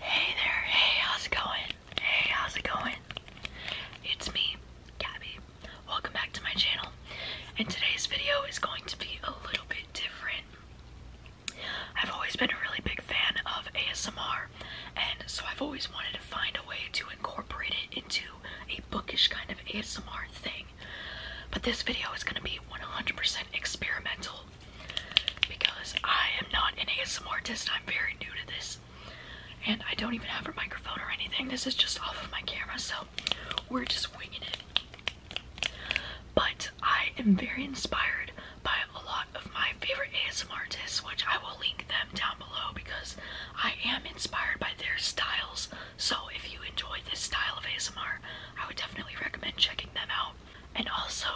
Hey there, hey, how's it going? Hey, how's it going? It's me, Gabby. Welcome back to my channel. And today's video is going to be a little bit different. I've always been a really big fan of ASMR, and so I've always wanted to find a way to incorporate it into a bookish kind of ASMR thing. But this video is going to be 100% experimental because I am not an ASMR artist, I'm very new to this, and I don't even have a microphone or anything. This is just off of my camera, so we're just winging it. But I am very inspired by a lot of my favorite ASMR artists, which I will link them down below because I am inspired by their styles. So if you enjoy this style of ASMR, I would definitely recommend checking them out. And also,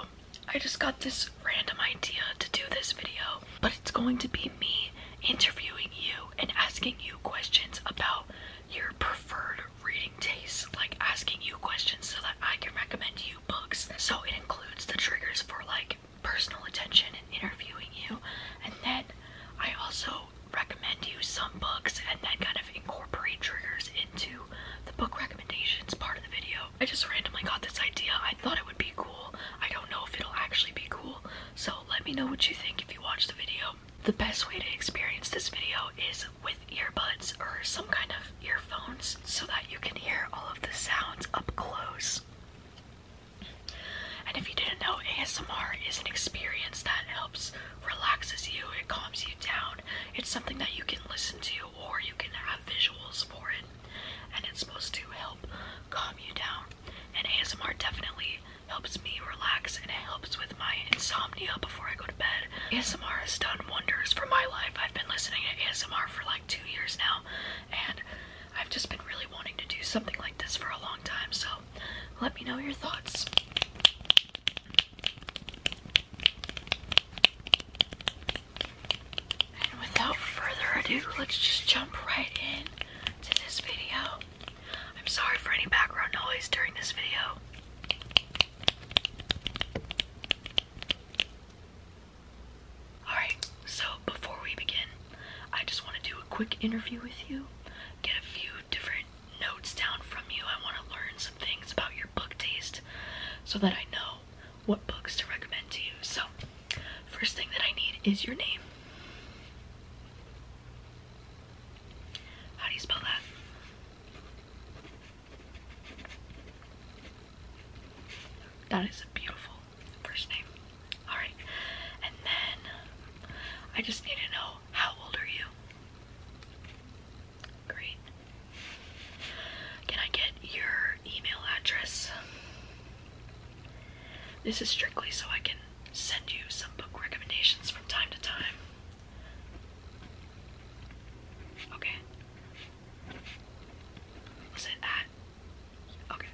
I just got this random idea to do this video, but it's going to be me interviewing you and asking you questions about your preferred reading tastes, like asking you questions so that I can recommend you books. So it includes the triggers for like personal attention and interviewing you, and then I also recommend you some books and then kind of incorporate triggers into the book recommendations part of the video. I just randomly got this idea. I thought it would be cool. I don't know if it'll actually be cool, so let me know what you think if you watch the video. The best way to experience this video is with earbuds or some kind of earphones so that you can hear all of the sounds up close. And if you didn't know, ASMR is an experience that helps relaxes you, it calms you down. It's something that you can listen to or you can have visuals for it, and it's supposed to help calm you down. And ASMR definitely helps me relax and it helps with my insomnia before I go to bed. ASMR has done wonders for my life. I've been listening to ASMR for like two years now, and I've just been really wanting to do something like this for a long time, so let me know your thoughts. And without further ado, let's just jump right in to this video. I'm sorry for any background noise during this video. Alright, so before we begin, I just want to do a quick interview with you, get a few different notes down from you. I want to learn some things about your book taste so that I know what books to recommend to you. So, first thing that I need is your name. How do you spell that? That is a beautiful first name. Alright, and then I just need to know how old are you? Great. Can I get your email address? This is strictly so I can send you some book recommendations from time to time. Okay. Was it at? Okay.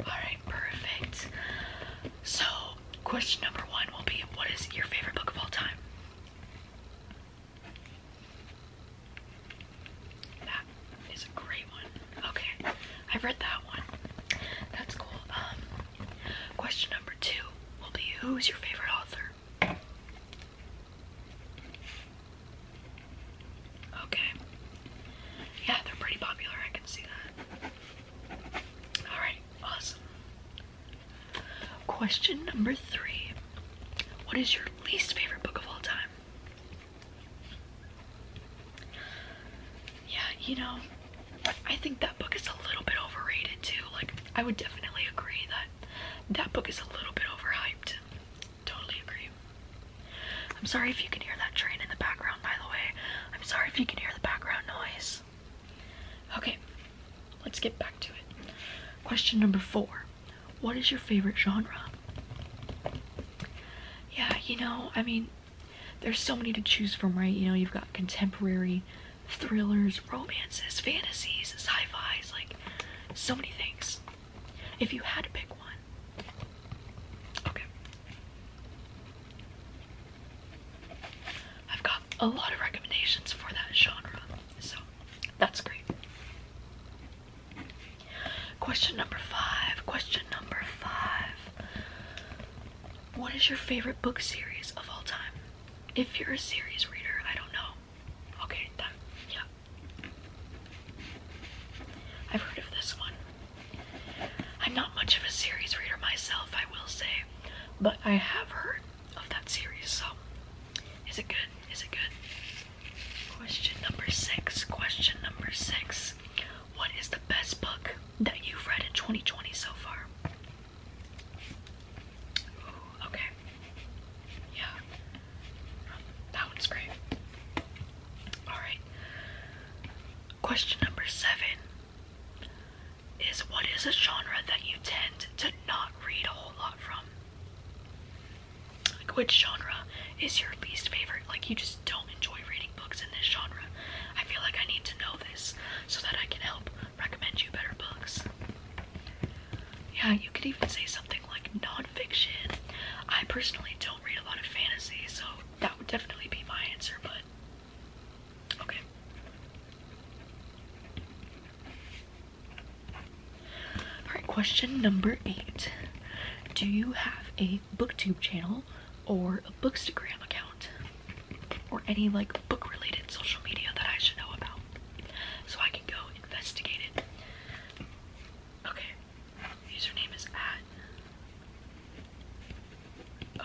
Alright, perfect. So, question number one will be what is your favorite book of all time? That is a great one. Okay, I've read that one. That's cool. Um, question number two will be who is your favorite author? Okay. Yeah, they're pretty popular. I can see that. Alright, awesome. Question number three What is your least favorite book of all time? Yeah, you know, I think that book is a little bit overrated too. Like, I would definitely agree that that book is a little bit overhyped. Totally agree. I'm sorry if you can hear that train in the background, by the way. I'm sorry if you can hear the background noise. Okay, let's get back to it. Question number four What is your favorite genre? Yeah, you know, I mean, there's so many to choose from, right? You know, you've got contemporary, thrillers, romances, fantasies, sci fis, like so many things. If you had to pick one, okay. I've got a lot of recommendations for that genre, so that's great. Question number five. Question number five. What is your favorite book series of all time? If you're a series reader, I don't know. Okay, that, yeah. I've heard of this one. I'm not much of a series reader myself, I will say but I have heard of that series. So, is it good? Is it good? Question number six. Question number six. What is the best book that you've read in 2020 so far? okay. Yeah. That one's great. Alright. Question number seven is what is a genre that you tend to not read a whole lot from? Like, which genre is your least favorite? Like, you just don't enjoy reading books in this genre. I feel like I need to know this so that I can help recommend you better books. Yeah, you could even say something like nonfiction. I personally don't read a lot of fantasy, so that would definitely be my answer, but Okay. Alright, question number eight. Do you have a booktube channel or a bookstagram account? Or any like book related social media that I should know about? So I can go investigate it. Okay. Username is at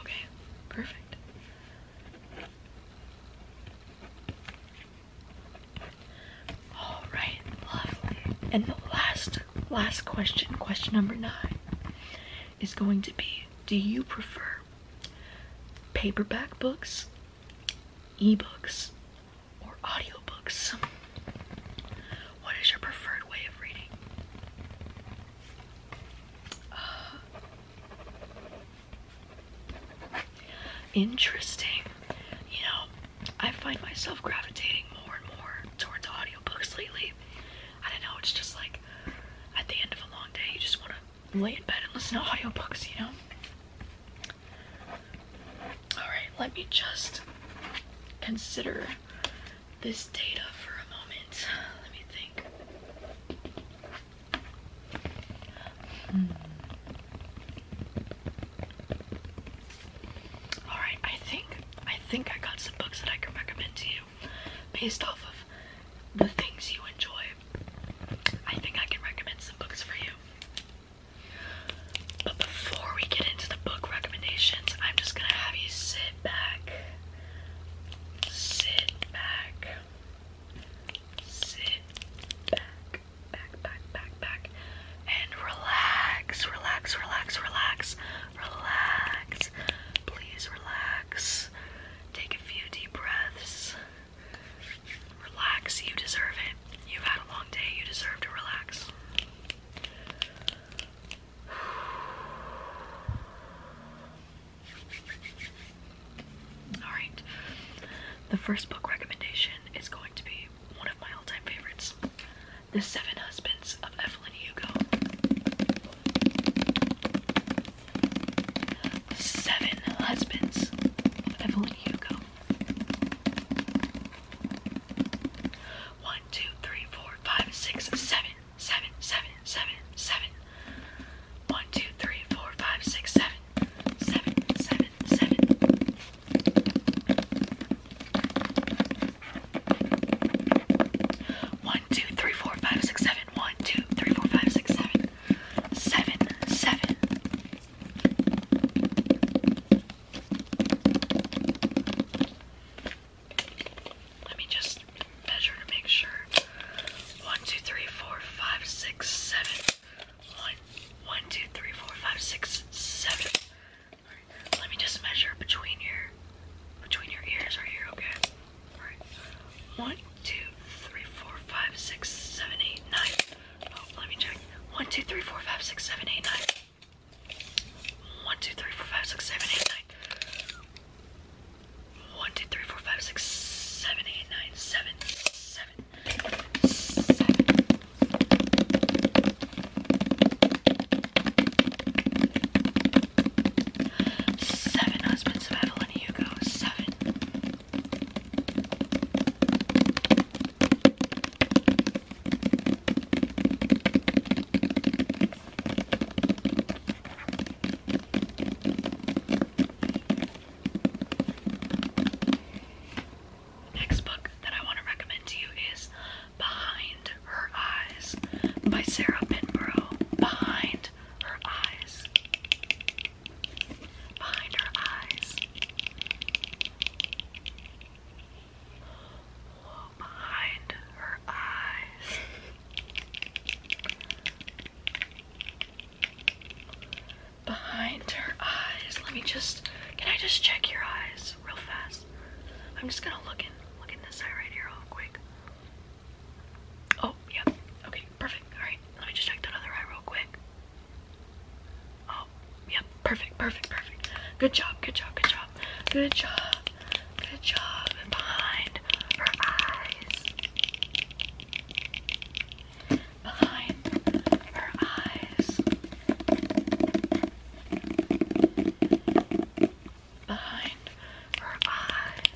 Okay, perfect. All right, lovely. And the last, last question, question number nine, is going to be: Do you prefer paperback books, e-books, or audiobooks? What is your preferred way of reading? Uh, Interesting. You know, I find myself gravitating more and more towards audio books lately. I don't know, it's just like at the end of a long day, you just want to lay in bed and listen to audio books, you know? Alright, let me just consider this data for a moment. Let me think. Hmm. All right, I think I think I got some books that I can recommend to you based off of the things you enjoy. I think I can recommend some books for you. But before we get into the book recommendations, I'm just gonna have you sit back. Sit back sit back, back, back, back, back, and relax, relax, relax, relax, relax. Please relax. Take a few deep breaths. Relax, you deserve it. You've had a long day, you deserve to relax. Alright, the first book recommendation is going to be one of my all time favorites The Seven Husbands of Evelyn Hugo. Seven Husbands Evelyn Hugo. One, two, three, four, five, six, seven seven, seven, seven, seven. One, two, three, four, five, six, seven. Seven, seven, seven. One, two, three, four, five, six, seven. One, two, three, four, five, six, seven. Seven, seven. Let me just just measure to make sure. One, two, three, four, five, six, seven. One, one, two, three, four, five, six, seven. Right. Let me just measure between your between your ears right here, okay? Alright. One, two, three, four, five, six, seven, eight, nine. Oh, let me check. One, two, three, four, five, six, seven, eight, nine. One, two, three, four, five, six, seven, eight, nine. One, two, three, four, five, six, seven, eight, nine, seven, seven, seven. Seven husbands of Evelyn Hugo. Seven. Next book that I want to recommend to you is Behind Her Eyes by Sarah Pinborough. Behind Her Eyes. Behind Her Eyes. Behind her eyes. Behind her eyes. Let me just, can I just check your eyes real fast? I'm just gonna look in, look in this eye right here real quick. Oh, Yeah. Okay, perfect. All right, let me just check that other eye real quick. Oh, Yeah. Perfect, perfect, perfect. Good job, good job, good job. Good job. Good job. And behind her eyes. Behind her eyes. Behind her eyes.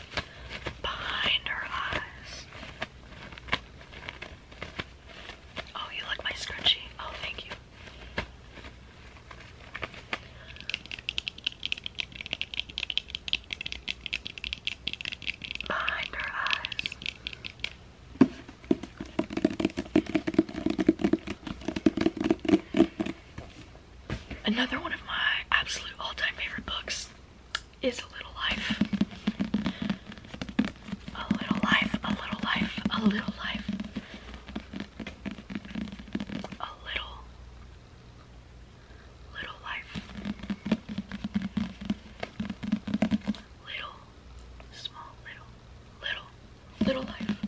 Behind her eyes. Oh, you like my scrunchie? Oh, thank you. Another one of my absolute all-time favorite books is A Little Life. A Little Life, A Little Life, A Little Life a little little life little small little little little life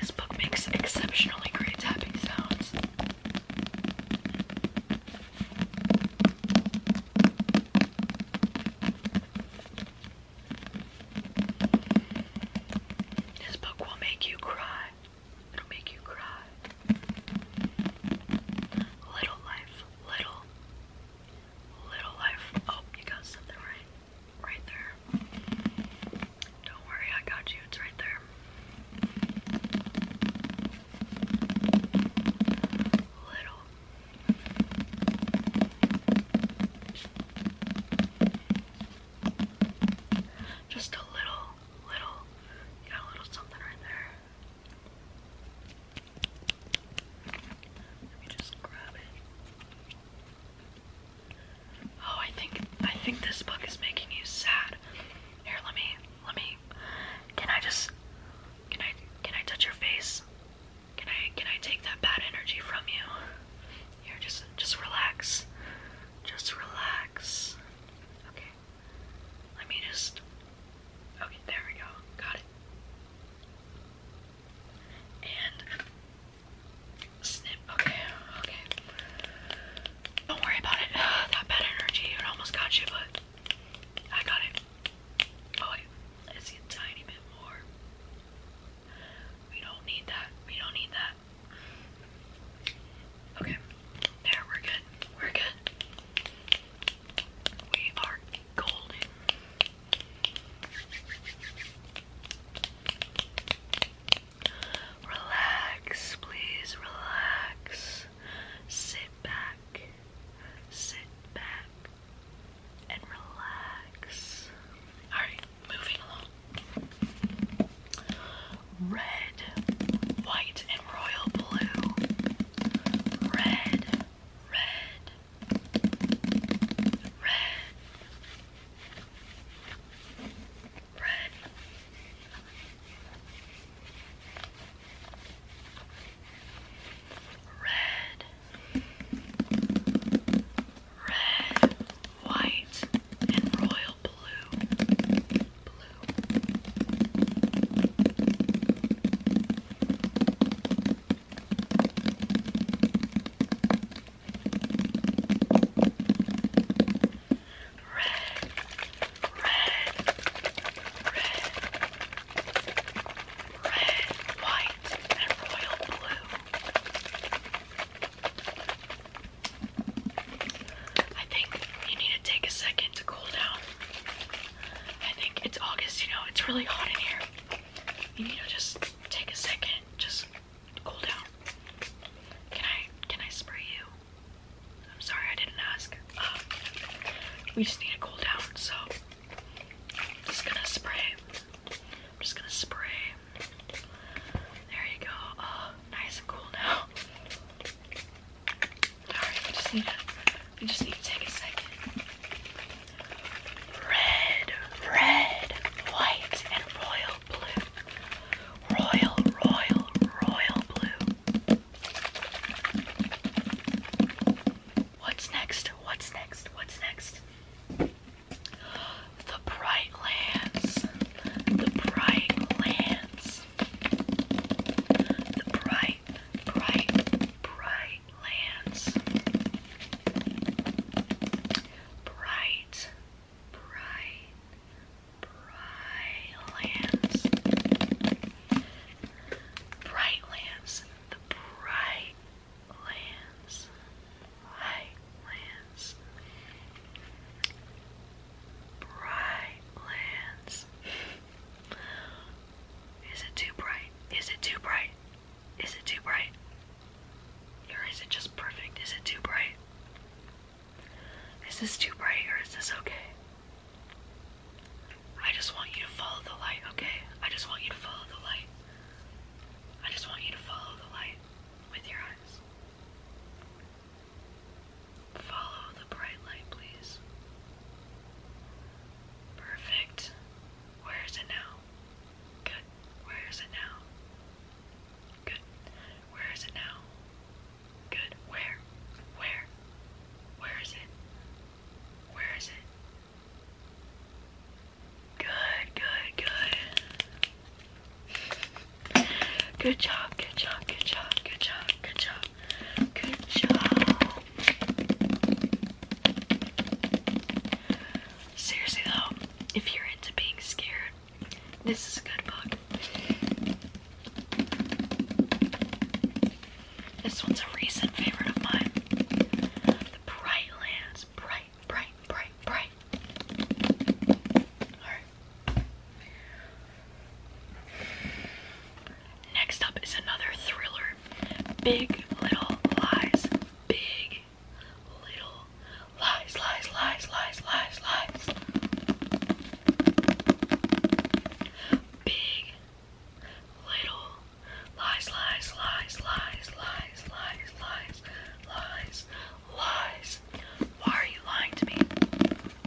this book makes exceptionally great tapping sounds this book will make you cry. It'll make you cry. Little life, little, little life. Oh, you got something right, right there. Don't worry, I got you. It's right there. Little, just a little, little, you got a little something right there. Let me just grab it. Oh, I think, I think this book is making you sad. Here, let me, let me, can I just, can I, can I touch your face? Can I can I take that bad energy from you? Here, just just relax. Just relax. Okay. Let me just Okay, there we go. Got it. And snip. Okay, okay. Don't worry about it. That bad energy, it almost got you, but I got it. Oh let's see a tiny bit more. We don't need that. We don't need that. Okay. There, we're good. We're good. We are golden. Relax, please relax. Sit back. Sit back and relax. Alright, moving along. Red, white, and royal blue. Red, red, red. Red. Red. Red, white, and royal blue. Red, red, red, red, white, and royal blue. I think you need to take a second to cool down. I think it's August, you know, it's really hot in here. You need to just take a second, just cool down. Can I can I spray you? I'm sorry I didn't ask. Um, we just need to cool down, so just gonna spray I'm just gonna spray. There you go. Oh, nice and cool now. Red, red, white, and royal blue. Royal, royal, royal blue. What's next? What's next? What's next? The Bright Lands. The Bright Lands. The Bright, Bright, Bright Lands. Bright, Bright, Bright Lands. Bright Lands. The Bright lands, light lands, bright lands. Is it too bright? Is it too bright? Is it too bright? Or is it just perfect? Is it too bright? Is this too bright or is this okay? I just want you to follow the light, okay? I just want you to follow the light. I just want you to follow the light with your eyes. Follow the bright light, please. Perfect. Where is it now? Good. Where is it now? Good. Where is it now? Good. Where? Where? Where is it? Where is it? Good, good, good. Good job, good job, good job, good job, good job, good job. Seriously though, if you're into being scared, this is a good book. This one's a recent favorite of mine. The Brightlands bright, bright, bright, bright. Next up is another thriller. Big Little Lies. Big Little Lies, lies, lies, lies, lies, lies. Big Little Lies, lies, lies, lies, lies, lies, lies, lies, lies. Why are you lying to me?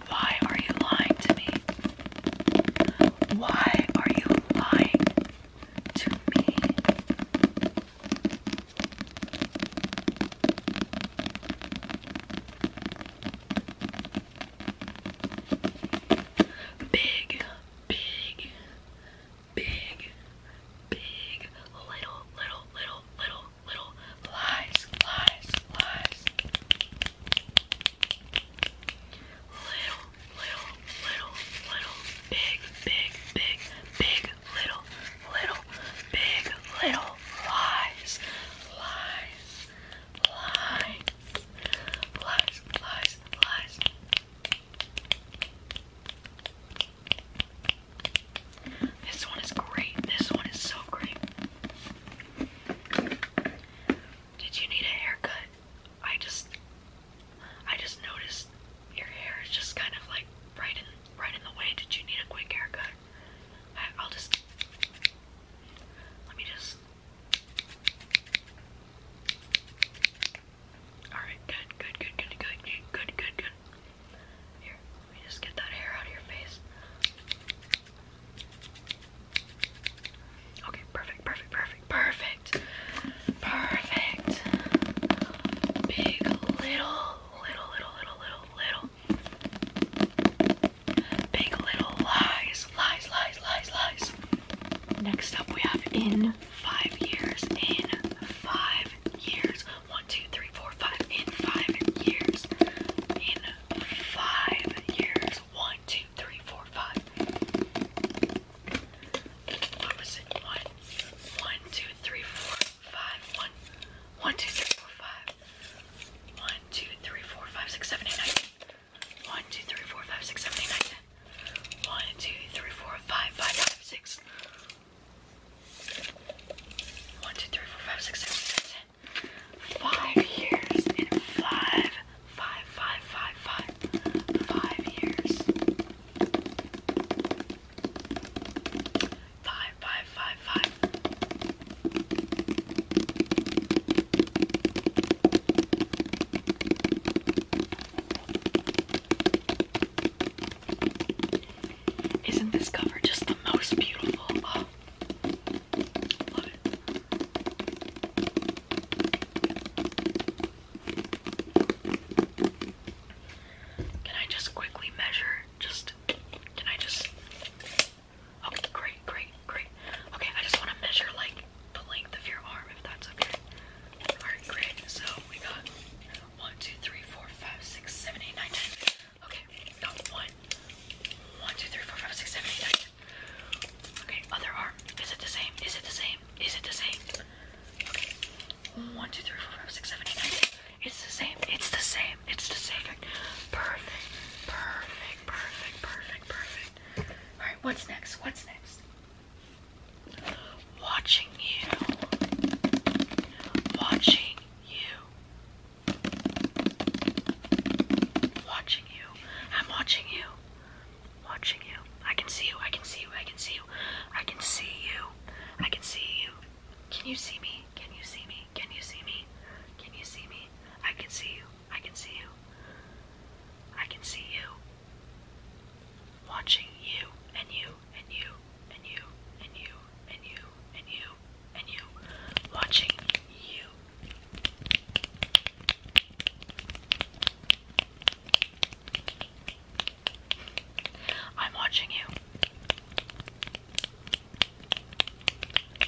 Why are you lying to me? Why are you lying to me? Big, big, big, big, little, little, little, little, little lies, lies, lies. Little, little, little, little, big, big, big, big, little, little, big, little lies, lies, lies, lies, lies, lies. This one is great. This one is so great. Did you need a haircut? I just I just noticed your hair is just kind of like right in right in the way. Did you need a quick haircut? I, will just let me just Alright, good, good, good, good, good, good, good, good, good. Here, let me just get that hair out of your face. Okay, perfect, perfect, perfect, perfect. Perfect. Big, little, little, little, little, little, little. Big little lies, lies, lies, lies, lies. Next up, we have in five years, in five years. One, two, three, four, five, in five years. In five years. One, two, three, four, five. Opposite oh, one. One, two, three, four, five. One. One, two, three, four, five. One, two, three, four, five, six, seven, eight, nine. One, two, three, four, five, six, seven, eight, nine seven, one, two, three, four, five, five, five, six. One, two, three, four, five, six, seven, seven, seven. Five years in five, five, five, five, five, five years. Five, five, five, five. Isn't this cover just the most beautiful? Oh, can I just quickly measure? Just can I just Okay, great, great, great. Okay, I just want to measure like the length of your arm if that's okay. Alright, great. So we got 1, 2, 3, 4, 5, 6, 7, 8, 9, 10. Okay, got 1. 1, 2, 3, 4, 5, 6, 7, 8, 9, 10. Okay, other arm. Is it the same? Is it the same? Is it the same? Okay. 1, 2, 3, 4, 5, 6, 7, 8, 9, 10. It's the same. It's the same. It's the same. Perfect. Perfect. Perfect. Perfect. Perfect. Perfect. Alright, what's next? What's next? watching you, watching you, watching you. I'm watching you, watching you. I can see you, I can see you, I can see you, I can see you, I can see you. Can you see me? Can you see me? Can you see me? Can you see me? I can see you, I can see you, I can see you. Watching you and you and you and you and you and you and you and you. Watching you. I'm watching you.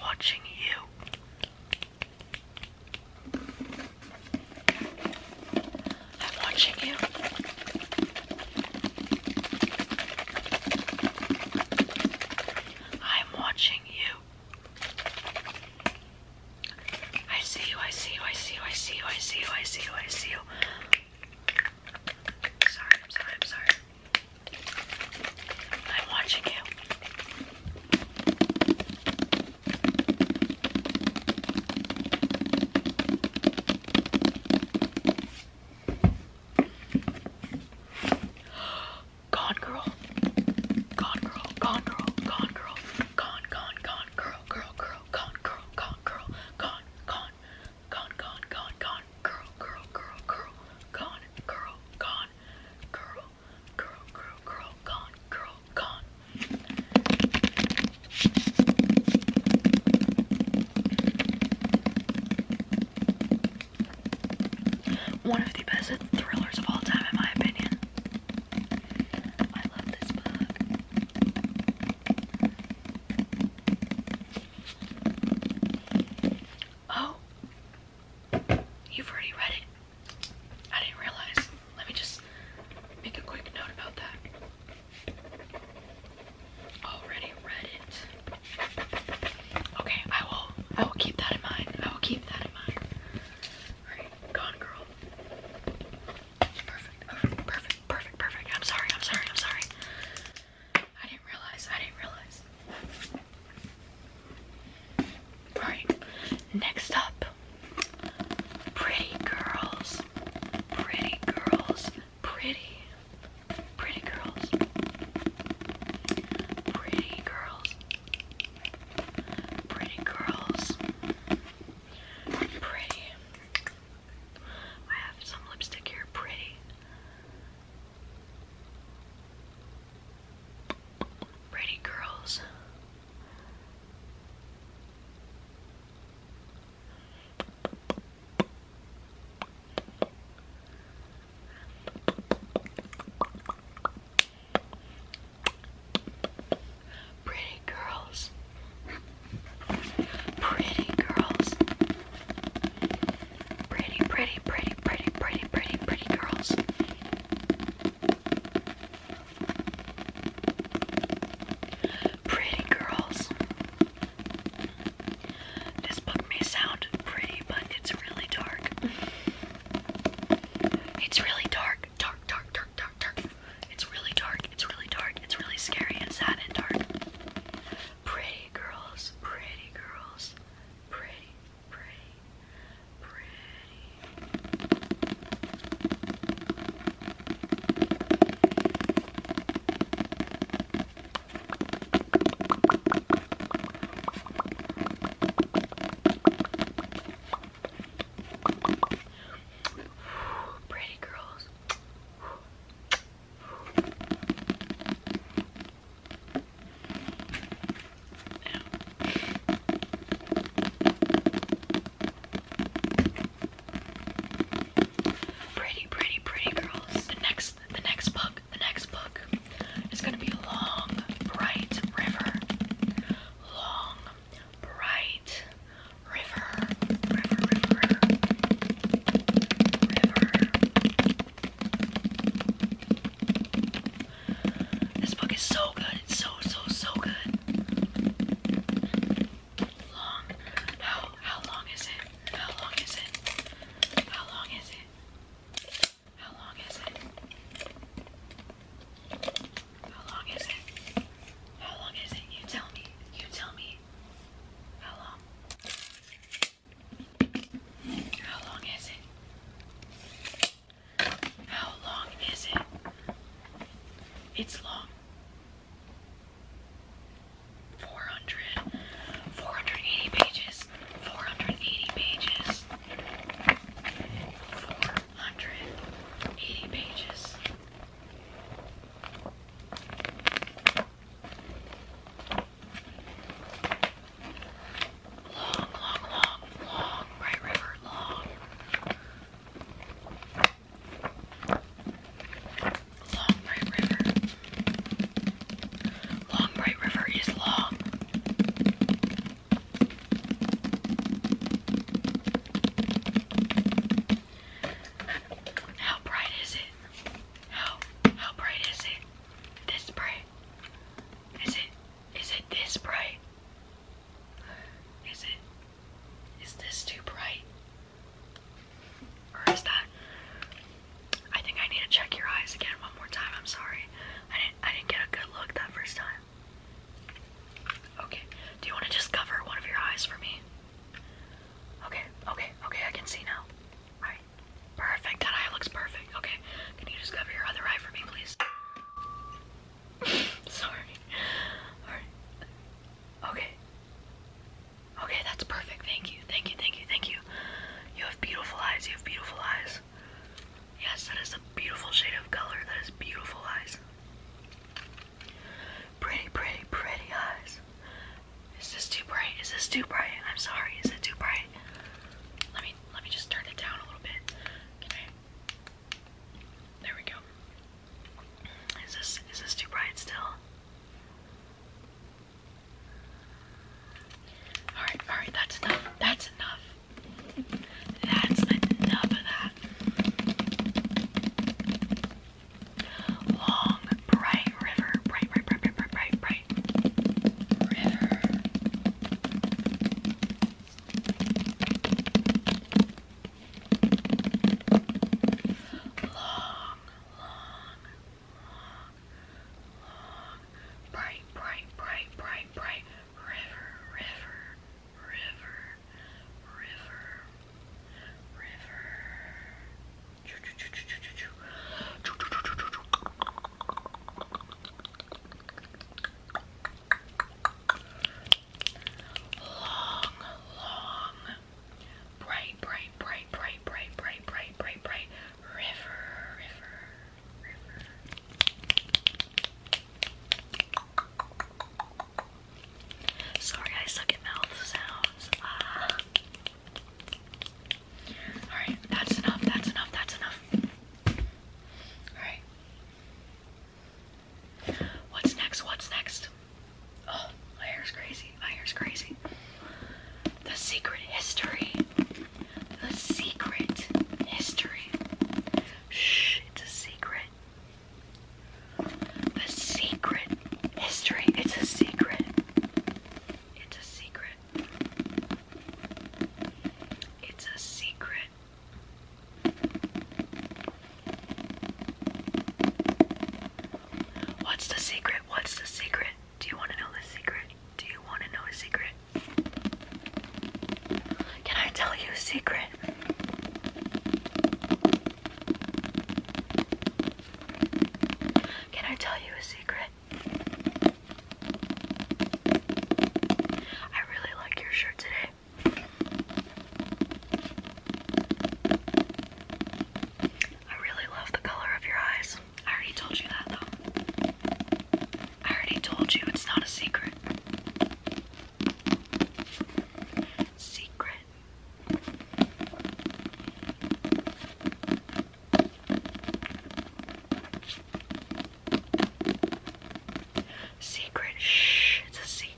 Watching you. I'm watching you. I'm watching you. I see you, I see you, I see you, I see you, I see you, I see you, I am watching you. Gone girl. Gone girl. Gone girl. Gone girl. Gone, gone, gone, girl, girl, girl, gone, girl, gone, girl, gone, gone, gone, gone, gone, gone, girl, girl, girl, girl, gone, girl, gone, girl, girl, girl, girl, gone, girl, one of the best thrillers of all time, in my opinion. I love this book. Oh, you've already read it. I didn't realize. Let me just make a quick note about that. Already read it. Okay, I will I will keep that in mind. I will keep that in mind. Alright, gone girl. Perfect. perfect, perfect, perfect. I'm sorry, I'm sorry, I'm sorry. I didn't realize, I didn't realize. Alright, next up Pretty girls, pretty girls, pretty, pretty girls, pretty girls, pretty girls, pretty. I have some lipstick here, pretty. Pretty girls, Pretty girls. Pretty girls. Pretty, pretty, pretty, pretty, pretty, pretty, pretty girls. Pretty girls. This book sound pretty, but it's really dark. It's really dark. Dark, dark, dark, dark, dark. It's really dark. It's really dark. It's really scary and sad and dark. Pretty girls, pretty girls. Pretty, pretty, pretty Pretty girls. Ow. Pretty, pretty, pretty girls. The next, the next book, the next book is gonna be a Long, Bright River. Long, Bright River. River, river, river. This book is so good. It's so so, so, so good. How long is it? How long is it? How long is it? How long is it? How long is it? You tell me. You tell me. How long? How long is it? How long is it? It's long. 400, 480 pages, 480 pages, 480 pages. Long, long, long, long, Bright River, long. Long Bright River. Long Bright River is long. How bright is it? How how bright is it? This bright. Is it is it this bright? Is it? Is this too bright? Or is that? I think I need to check your eyes again one more time. I'm sorry. I didn't. I didn't get a good look that first time. Okay. Do you want to just cover one of your eyes for me? Okay. Okay. Okay. I can see now. Perfect. That eye looks perfect. Okay. Can you just cover your other eye for me, please? Sorry. Okay. Okay, that's perfect. Thank you. Thank you. Thank you. Thank you. You have beautiful eyes. You have beautiful eyes. Yes, that is a beautiful shade of color. That is beautiful eyes. Pretty, pretty, pretty eyes. Is this too bright? Is this too bright? I'm sorry. Is it too bright? Let me let me just turn it down a little bit. Can there we go. Is this is this too bright still? Alright, alright, that's enough. That's enough. That's enough of that. Long, bright river. Bright, bright, bright, bright, bright, bright, River. Long, long, long, long, bright, bright, bright, bright, bright river, river, river, river, river. Choo, choo, choo, choo, choo, choo. Choo, choo, choo, choo, choo, choo long, long, bright, bright, bright, bright, bright, bright, bright, bright, bright river, river, river. Sorry, I suck at mouth sounds. Ah. Alright, that's enough, that's enough, that's enough. Alright. What's next? What's next? Oh, my hair's crazy. My hair's crazy. The secret history. The secret history. Shh, it's a secret. The secret history. It's a secret. It's a secret. It's a secret. What's the secret? What's the secret? Do you want to know the secret? Do you want to know a secret? Can I tell you a secret? Can I tell you a secret? I really like your shirt today. I really love the color of your eyes. I already told you that though. I already told you it's not a secret. Secret. Secret. Shh, it's a secret.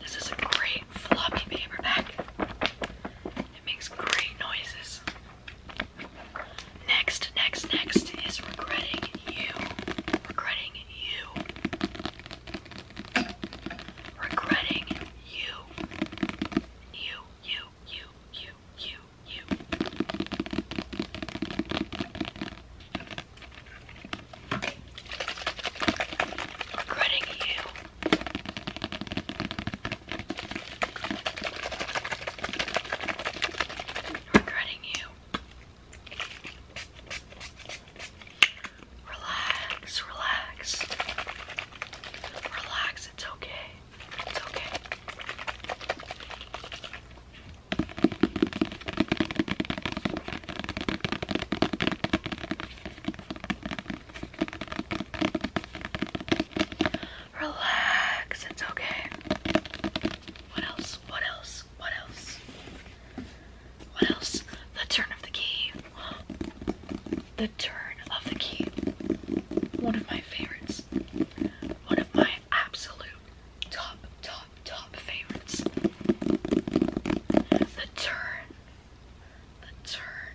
This is a great floppy paperback. It makes great noises. Next, next, next is regretting you. Regretting you. Regretting you. You, you, you, you, you, you. Regretting you. Regretting you. Relax, relax. Relax, it's okay. It's okay. Relax, it's okay. What else? What else? What else? What else? The turn of the key. The Turn of the Key. One of my favorites. One of my absolute top, top, top favorites. The Turn. The Turn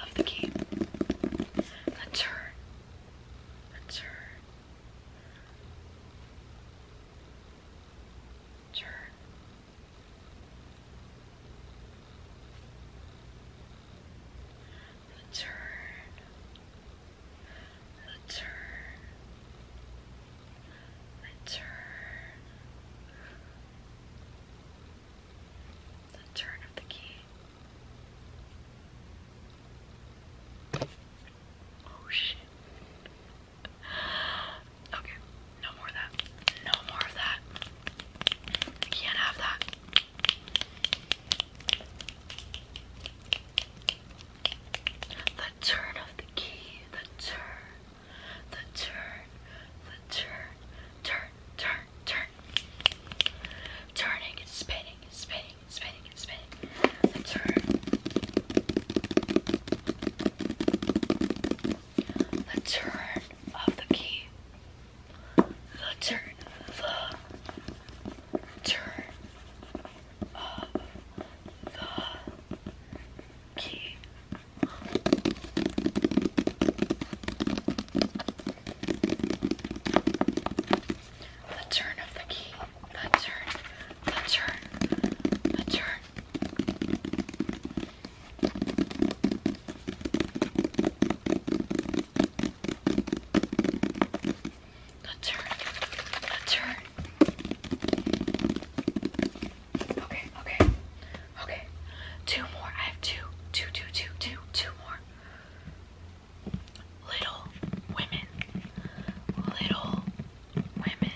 of the Key. The Turn. The Turn. The turn. The turn. The turn. The turn of the key. Oh shit. Okay, no more of that. No more of that. I can't have that. The turn of the key, the turn, the turn, the turn, turn, turn, turn. Turning and spinning and spinning and spinning and spinning. The turn. The turn of the key the turn, the turn of the key. The turn of the key, the turn, the turn, the turn. That's her. That's her. Okay, okay. Okay. Two more. I have two. Two, two, two, two, two more. Little women. Little women.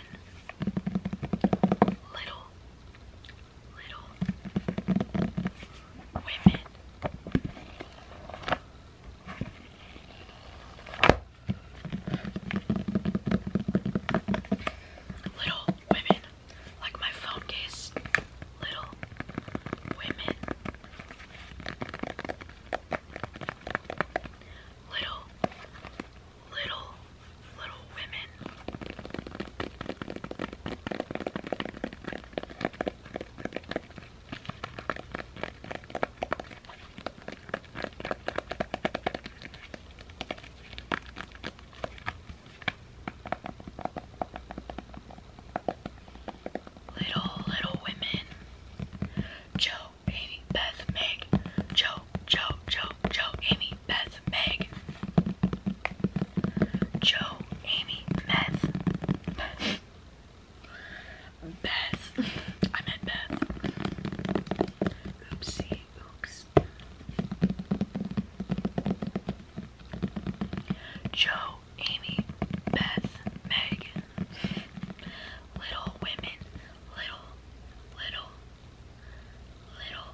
Little Little Women. Little Women. Like my phone case. Little Women. Little, little, little women. Little, little women. Joe, Amy, Beth, Meg. Joe, Joe, Joe, Joe, Amy, Beth, Meg, Joe, Amy, Beth, Beth, I meant Beth. Oopsie, oops. Joe, Amy, Beth, Meg, Little Women, Little, Little, Little,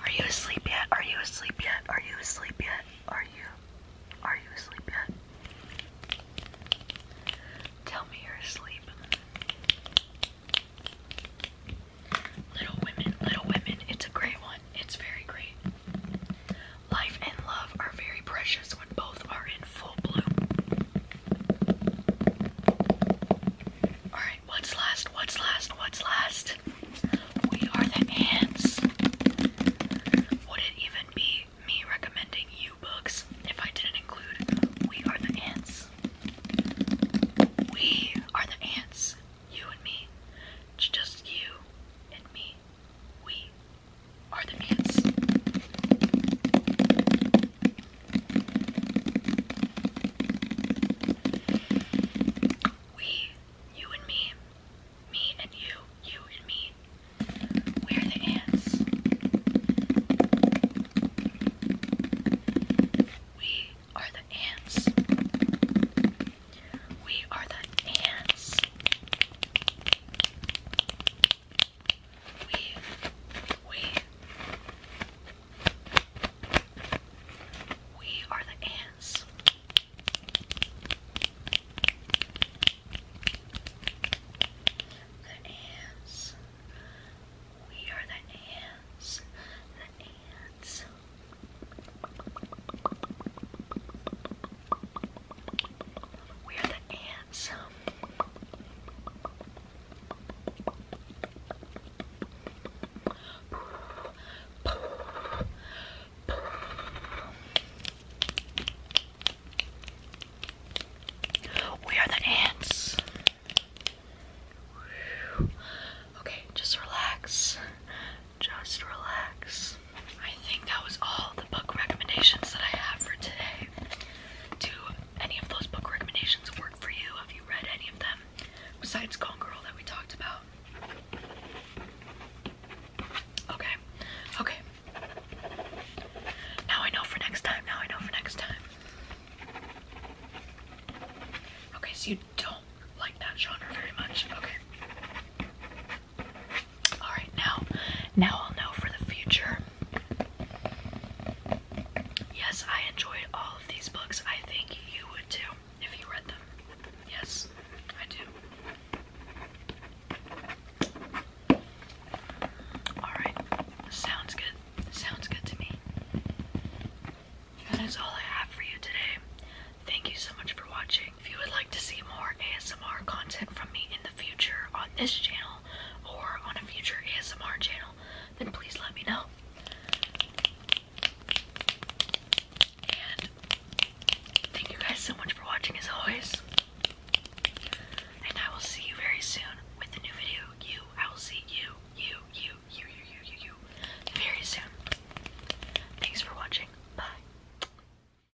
are you asleep yet? Are you asleep yet? Are you asleep yet? Are you? Are you asleep yet? Tell me you're asleep. Little Women, Little Women, it's a great one. It's very great. Life and love are very precious when both are in full bloom. Alright, what's last? What's last? What's last? We are the ants. Would it even be me recommending you books if I didn't include We Are the Ants? We are the ants. You and me. Just you and me. We are the ants. We, you and me, me and you, you and me. We're the ants. We are the ants. We are the ants. We, we, we are the ants. The ants. We are the ants. The ants. We are the ants. We are the ants. Okay, just relax. Just relax. I think that was all the book recommendations that I have for today. Do any of those book recommendations work for you? Have you read any of them besides Gone Girl that we talked about? Okay, okay. Now I know for next time. Now I know for next time. Okay, so you don't like that genre very much. Okay. All right, now, now I'll know for the future. Yes, I enjoyed all of these books. I think you would too if you read them. Yes, I do. All right, sounds good. Sounds good to me. That is all I have for you today. Thank you so much for watching. If you would like to see more ASMR content from me in the future on this channel or on a future ASMR channel, then please let me know. And thank you guys so much for watching as always. And I will see you very soon with a new video. You, I will see you, you, you, you, you, you, you, you very soon. Thanks for watching. Bye.